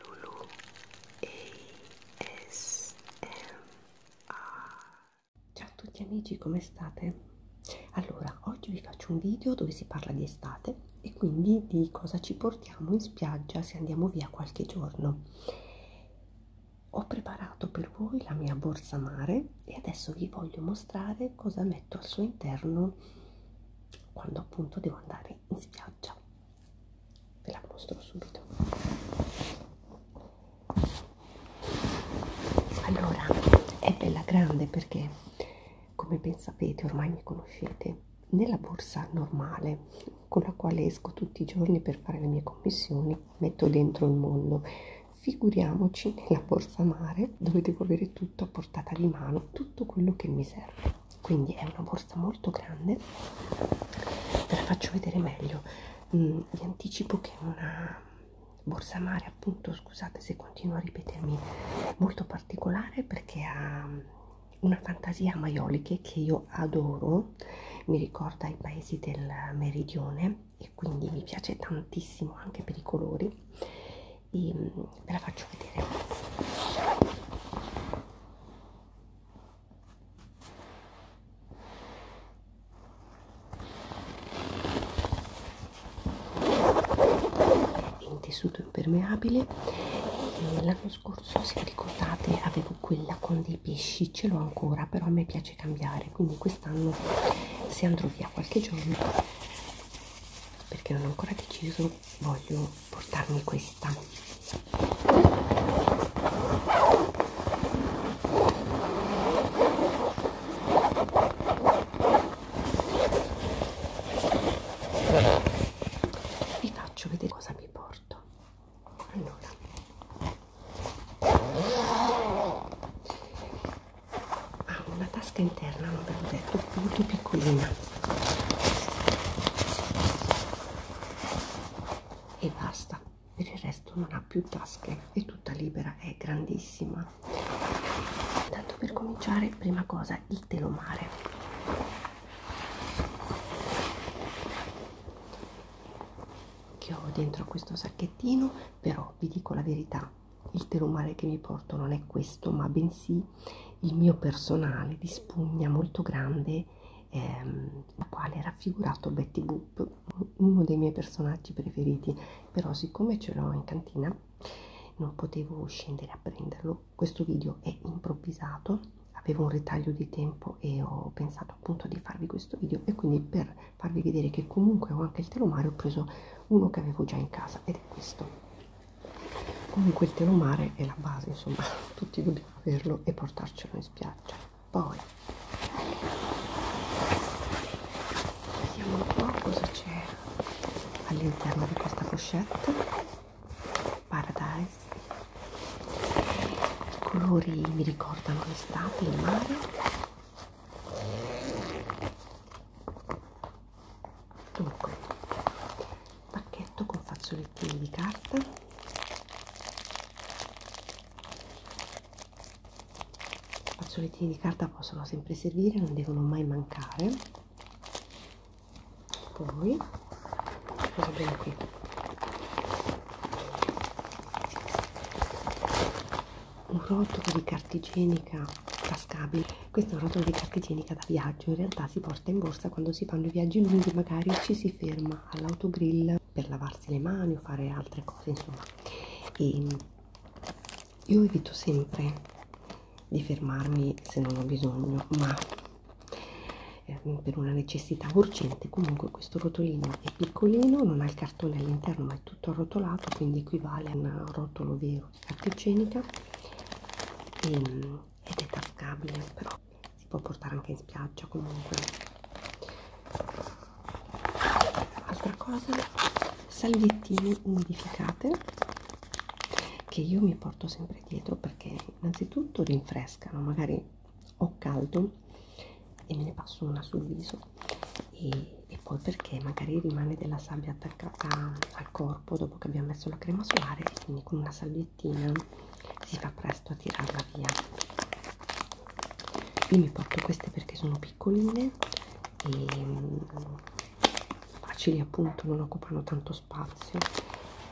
Lulu Ciao a tutti amici, come state? Allora, oggi vi faccio un video dove si parla di estate e quindi di cosa ci portiamo in spiaggia se andiamo via qualche giorno. Ho preparato per voi la mia borsa mare e adesso vi voglio mostrare cosa metto al suo interno quando appunto devo andare in spiaggia ve la mostro subito allora è bella grande perché come ben sapete ormai mi conoscete nella borsa normale con la quale esco tutti i giorni per fare le mie commissioni metto dentro il mondo figuriamoci nella borsa mare dove devo avere tutto a portata di mano tutto quello che mi serve quindi è una borsa molto grande ve la faccio vedere meglio mm, vi anticipo che è una borsa mare appunto scusate se continuo a ripetermi molto particolare perché ha mm, una fantasia a maioliche che io adoro mi ricorda i paesi del meridione e quindi mi piace tantissimo anche per i colori e ehm, ve la faccio vedere in tessuto impermeabile eh, l'anno scorso se ricordate avevo quella con dei pesci ce l'ho ancora però a me piace cambiare quindi quest'anno se andrò via qualche giorno perché non ho ancora deciso voglio portarmi questa vi faccio vedere cosa mi porto allora ha ah, una tasca interna, non ve l'ho detto, molto piccolina e basta, per il resto non ha più tasche, è tutta libera, è grandissima. Tanto per cominciare, prima cosa il telomare. Che ho dentro questo sacchettino, però vi dico la verità, il tè umare che mi porto non è questo ma bensì il mio personale di spugna molto grande ehm, la quale è raffigurato Betty Boop uno dei miei personaggi preferiti però siccome ce l'ho in cantina non potevo scendere a prenderlo questo video è improvvisato avevo un ritaglio di tempo e ho pensato appunto di farvi questo video e quindi per farvi vedere che comunque ho anche il telomare ho preso uno che avevo già in casa ed è questo comunque il telomare è la base insomma tutti dobbiamo averlo e portarcelo in spiaggia poi vediamo un po' cosa c'è all'interno di questa pochette paradise i colori mi ricordano l'estate il mare dunque pacchetto con fazzolettini di carta fazzolettini di carta possono sempre servire non devono mai mancare poi cosa abbiamo qui un rotolo di carta igienica tascabile questo è un rotolo di carta igienica da viaggio in realtà si porta in borsa quando si fanno i viaggi lunghi magari ci si ferma all'autogrill per lavarsi le mani o fare altre cose insomma e io evito sempre di fermarmi se non ho bisogno ma ehm, per una necessità urgente comunque questo rotolino è piccolino non ha il cartone all'interno ma è tutto arrotolato quindi equivale a un rotolo vero carta igienica e, ehm, ed è tascabile però si può portare anche in spiaggia comunque altra cosa salviettine umidificate che io mi porto sempre dietro perché innanzitutto rinfrescano magari ho caldo e me ne passo una sul viso e, e poi perché magari rimane della sabbia attaccata al corpo dopo che abbiamo messo la crema solare e quindi con una salviettina si fa presto a tirarla via io mi porto queste perché sono piccoline e mm, facili appunto non occupano tanto spazio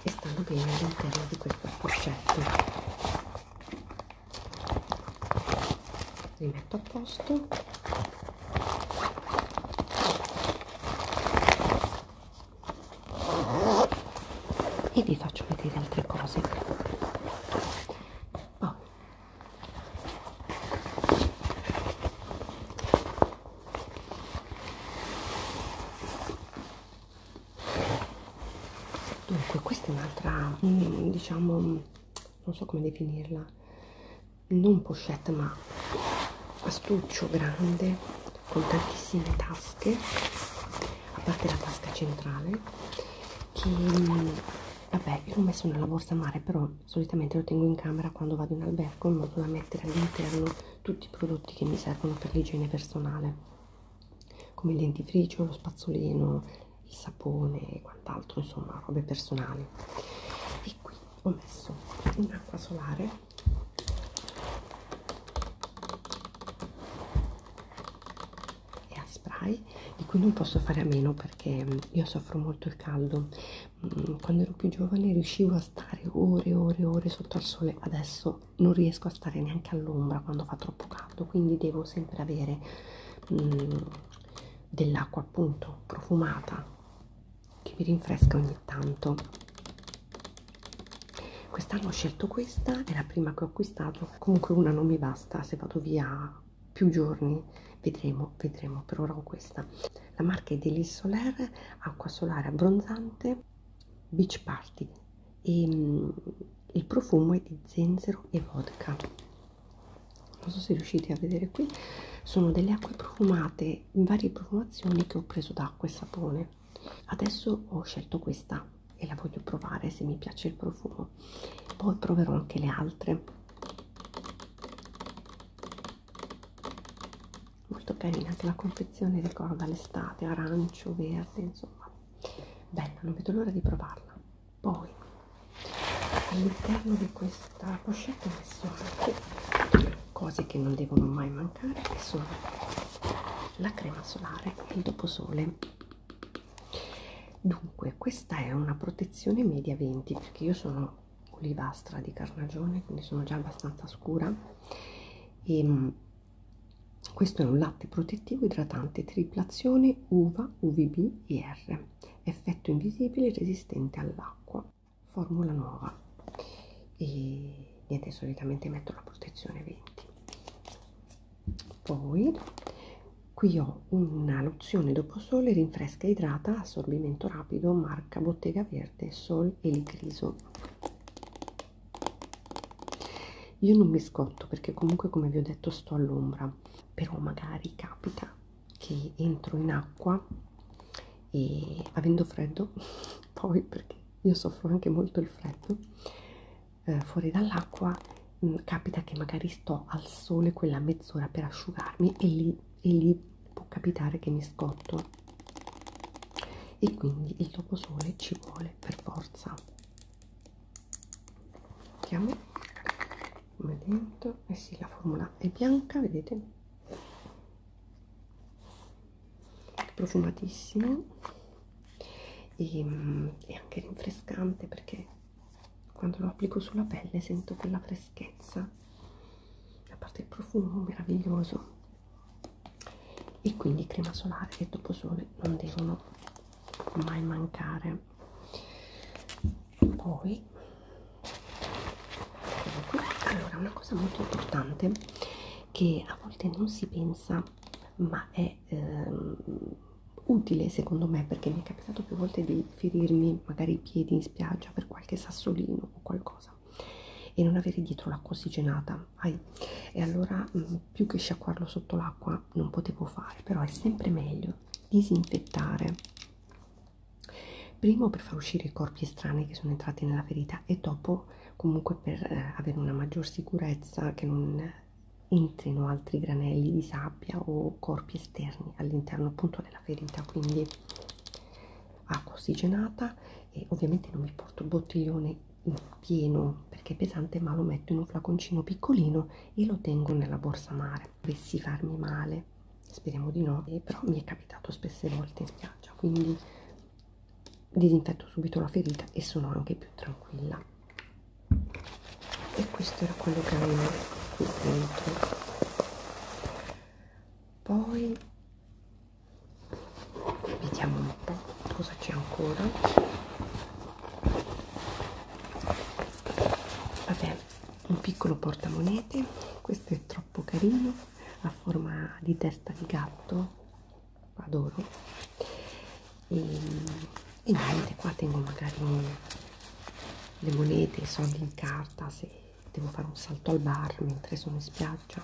e stanno bene all'interno di questo accoscetto quindi tutto a posto e vi faccio vedere altre cose oh. dunque questa è un'altra mm, diciamo non so come definirla, non pochette ma astuccio grande con tantissime tasche, a parte la tasca centrale, che vabbè io l'ho messo nella borsa mare, però solitamente lo tengo in camera quando vado in albergo in modo da mettere all'interno tutti i prodotti che mi servono per l'igiene personale, come il dentifricio, lo spazzolino, il sapone e quant'altro, insomma, robe personali. E qui ho messo un'acqua solare e a spray di cui non posso fare a meno perché mm, io soffro molto il caldo mm, quando ero più giovane riuscivo a stare ore e ore e ore sotto al sole adesso non riesco a stare neanche all'ombra quando fa troppo caldo quindi devo sempre avere um, dell'acqua appunto profumata che mi rinfresca ogni tanto quest'anno ho scelto questa è la prima che ho acquistato comunque una non mi basta se vado via più giorni vedremo vedremo per ora ho questa la marca è Delis Soler acqua solare abbronzante beach party e mm, il profumo è di zenzero e vodka non so se riuscite a vedere qui sono delle acque profumate in varie profumazioni che ho preso d'acqua e sapone adesso ho scelto questa e la voglio provare se mi piace il profumo poi proverò anche le altre molto carina anche la confezione ricorda l'estate arancio verde insomma bella non vedo l'ora di provarla poi all'interno di questa pochette ho messo anche cose che non devono mai mancare che sono la crema solare e il doposole dunque questa è una protezione media 20 perché io sono olivastra di carnagione quindi sono già abbastanza scura e ehm, questo è un latte protettivo idratante triplazione uva UVB IR effetto invisibile resistente all'acqua formula nuova e niente solitamente metto la protezione 20 poi qui ho una lozione dopo sole rinfresca e idrata assorbimento rapido marca bottega verde sol e il griso io non mi scotto perché comunque come vi ho detto sto all'ombra però magari capita che entro in acqua e avendo freddo poi perché io soffro anche molto il freddo eh, fuori dall'acqua mm, capita che magari sto al sole quella mezz'ora per asciugarmi e lì, e lì può capitare che mi scotto e quindi il doposole ci vuole per forza mettiamo come dentro e eh sì la formula è bianca vedete profumatissimo e, e mm, anche rinfrescante perché quando lo applico sulla pelle sento quella freschezza a parte il profumo meraviglioso e quindi crema solare e dopo sole non devono mai mancare poi allora una cosa molto importante che a volte non si pensa ma è ehm, utile secondo me perché mi è capitato più volte di ferirmi magari i piedi in spiaggia per qualche sassolino o qualcosa e non avere dietro l'acqua ossigenata Ai. e allora mh, mm, più che sciacquarlo sotto l'acqua non potevo fare, però è sempre meglio disinfettare primo per far uscire i corpi estranei che sono entrati nella ferita e dopo comunque per eh, avere una maggior sicurezza che non entrino altri granelli di sabbia o corpi esterni all'interno appunto della ferita quindi acqua ossigenata e ovviamente non mi porto il bottiglione pieno perché è pesante ma lo metto in un flaconcino piccolino e lo tengo nella borsa mare dovessi farmi male speriamo di no eh, però mi è capitato spesse volte in spiaggia quindi disinfetto subito la ferita e sono anche più tranquilla e questo era quello che avevo qui dentro poi vediamo un po' cosa c'è ancora vabbè un piccolo portamonete questo è troppo carino a forma di testa di gatto adoro e, e niente qua tengo magari le monete i soldi in carta se devo fare un salto al bar mentre sono in spiaggia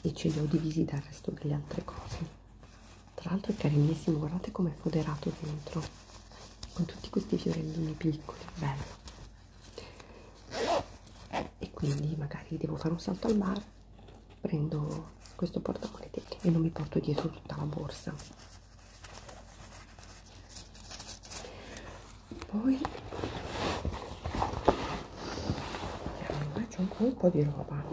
e ce li ho divisi dal resto delle altre cose tra l'altro è carinissimo guardate com'è foderato dentro con tutti questi fiorellini piccoli bello e quindi magari devo fare un salto al bar prendo questo portamonete e non mi porto dietro tutta la borsa poi faccio eh, un colpo di roba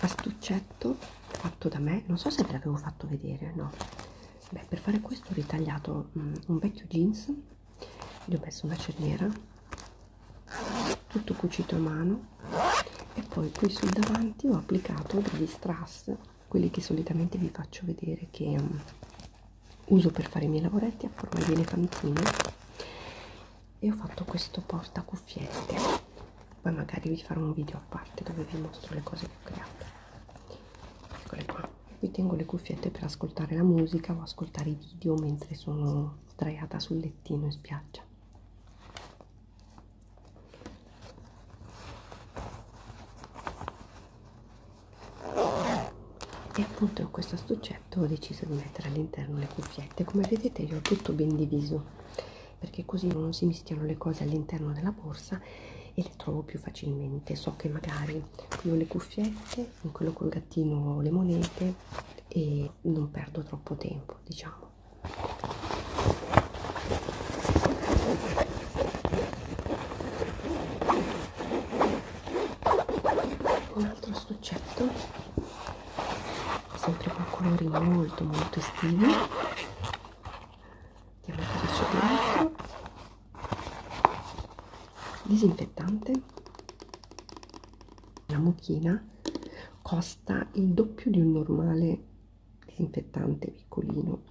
astuccetto fatto da me non so se ve l'avevo fatto vedere no Beh, per fare questo ho ritagliato mh, mm, un vecchio jeans gli ho messo una cerniera tutto cucito a mano e poi qui sul davanti ho applicato degli strass quelli che solitamente vi faccio vedere che um, uso per fare i miei lavoretti a forma di elefantino e ho fatto questo porta cuffiette poi magari vi farò un video a parte dove vi mostro le cose che ho creato eccole qua qui tengo le cuffiette per ascoltare la musica o ascoltare i video mentre sono sdraiata sul lettino in spiaggia e appunto in questo astuccetto ho deciso di mettere all'interno le cuffiette come vedete io ho tutto ben diviso perché così non si mischiano le cose all'interno della borsa e le trovo più facilmente so che magari qui ho le cuffiette in quello col gattino ho le monete e non perdo troppo tempo diciamo un altro stuccetto sempre con colori molto molto estivi vediamo cosa c'è dentro disinfettante la mucchina costa il doppio di un normale disinfettante piccolino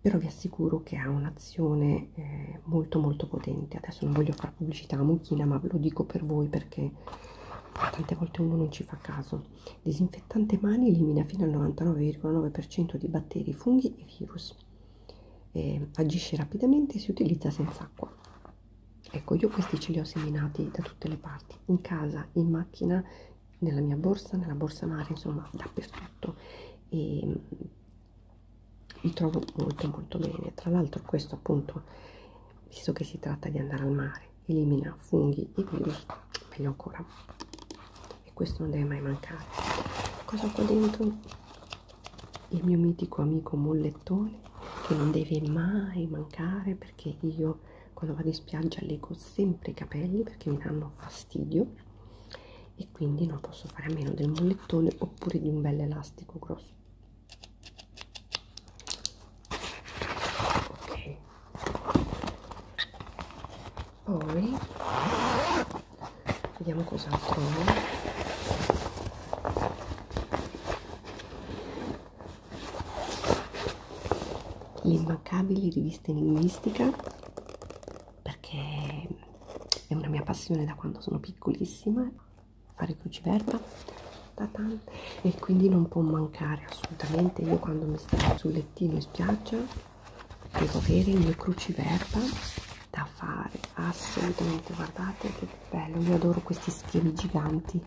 però vi assicuro che ha un'azione eh, molto molto potente adesso non voglio fare pubblicità a mucchina ma ve lo dico per voi perché tante volte uno non ci fa caso disinfettante mani elimina fino al 99,9% di batteri funghi e virus eh, agisce rapidamente e si utilizza senza acqua ecco io questi ce li ho seminati da tutte le parti in casa in macchina nella mia borsa nella borsa mare insomma dappertutto e mi trovo molto molto bene tra l'altro questo appunto visto che si tratta di andare al mare elimina funghi e virus meglio ancora e questo non deve mai mancare cosa ho qua dentro il mio mitico amico mollettone che non deve mai mancare perché io quando vado in spiaggia leggo sempre i capelli perché mi danno fastidio fastidio e quindi non posso fare a meno del mollettone oppure di un bel elastico grosso ok poi vediamo cosa trovo le immancabili riviste linguistica perché è una mia passione da quando sono piccolissima fare cruciverba e quindi non può mancare assolutamente io quando mi stavo sul lettino in spiaggia devo avere il mio cruciverba da fare assolutamente guardate che bello io adoro questi schemi giganti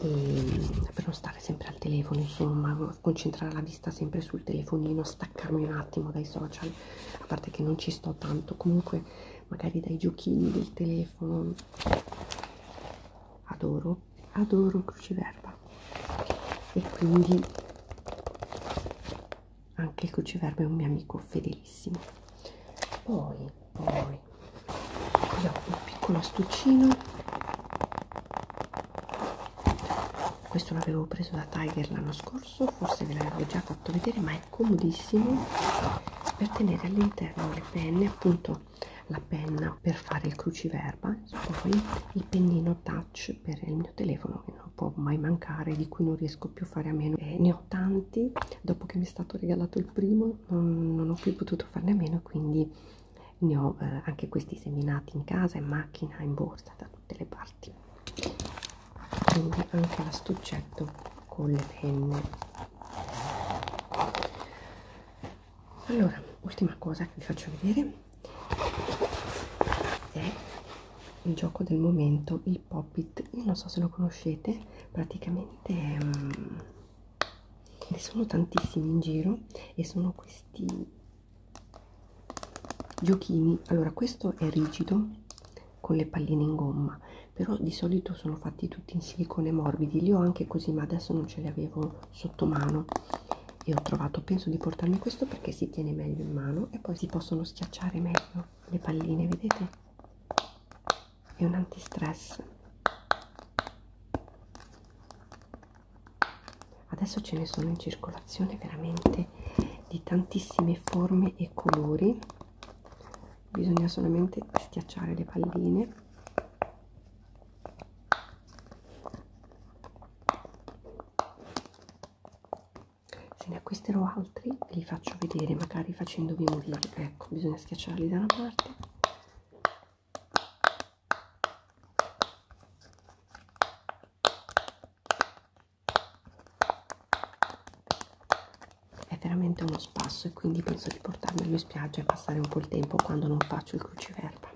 e però sta stare sempre al telefono, insomma, concentrare la vista sempre sul telefonino, staccarmi un attimo dai social, a parte che non ci sto tanto, comunque magari dai giochini del telefono. Adoro, adoro il cruciverba e quindi anche il cruciverba è un mio amico fedelissimo. Poi, poi, qui ho un piccolo astuccino questo l'avevo preso da Tiger l'anno scorso forse ve l'avevo già fatto vedere ma è comodissimo per tenere all'interno le penne appunto la penna per fare il cruciverba poi il pennino touch per il mio telefono che non può mai mancare di cui non riesco più a fare a meno eh, ne ho tanti dopo che mi è stato regalato il primo non, non ho più potuto farne a meno quindi ne ho eh, anche questi seminati in casa, in macchina, in borsa, da tutte le parti. Quindi anche l'astuccetto con le penne. Allora, ultima cosa che vi faccio vedere è il gioco del momento, il Pop It. Io non so se lo conoscete, praticamente è un mm, ne sono tantissimi in giro e sono questi giochini allora questo è rigido con le palline in gomma però di solito sono fatti tutti in silicone morbidi li ho anche così ma adesso non ce li avevo sotto mano e ho trovato penso di portarmi questo perché si tiene meglio in mano e poi si possono schiacciare meglio le palline vedete è un antistress adesso ce ne sono in circolazione veramente di tantissime forme e colori bisogna solamente schiacciare le palline se ne acquisterò altri ve li faccio vedere magari facendovi morire ecco bisogna schiacciarli da una parte è veramente uno spasso e quindi penso di portarmelo in spiaggia e passare un po' il tempo quando non faccio il cruciverba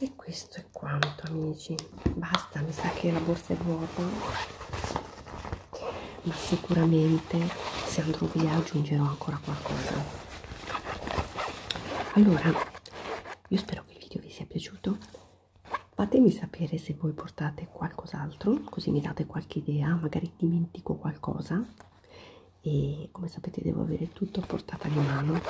e questo è quanto amici basta mi sa che la borsa è vuota ma sicuramente se andrò via aggiungerò ancora qualcosa allora io spero che il video vi sia piaciuto fatemi sapere se voi portate qualcos'altro così mi date qualche idea magari dimentico qualcosa e come sapete devo avere tutto a portata di mano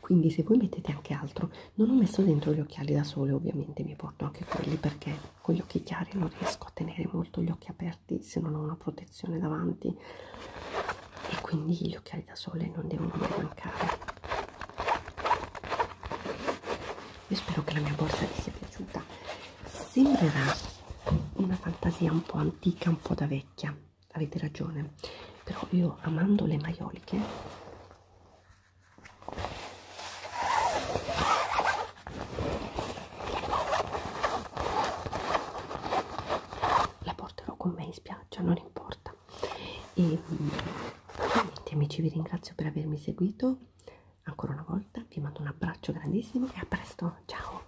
quindi se voi mettete anche altro non ho messo dentro gli occhiali da sole ovviamente mi porto anche quelli perché con gli occhi chiari non riesco a tenere molto gli occhi aperti se non ho una protezione davanti e quindi gli occhiali da sole non devono mai mancare io spero che la mia borsa vi sia piaciuta sembrerà una fantasia un po' antica un po' da vecchia avete ragione però io amando le maioliche la porterò con me in spiaggia non importa e mm, niente amici vi ringrazio per avermi seguito ancora una volta vi mando un abbraccio grandissimo e a presto ciao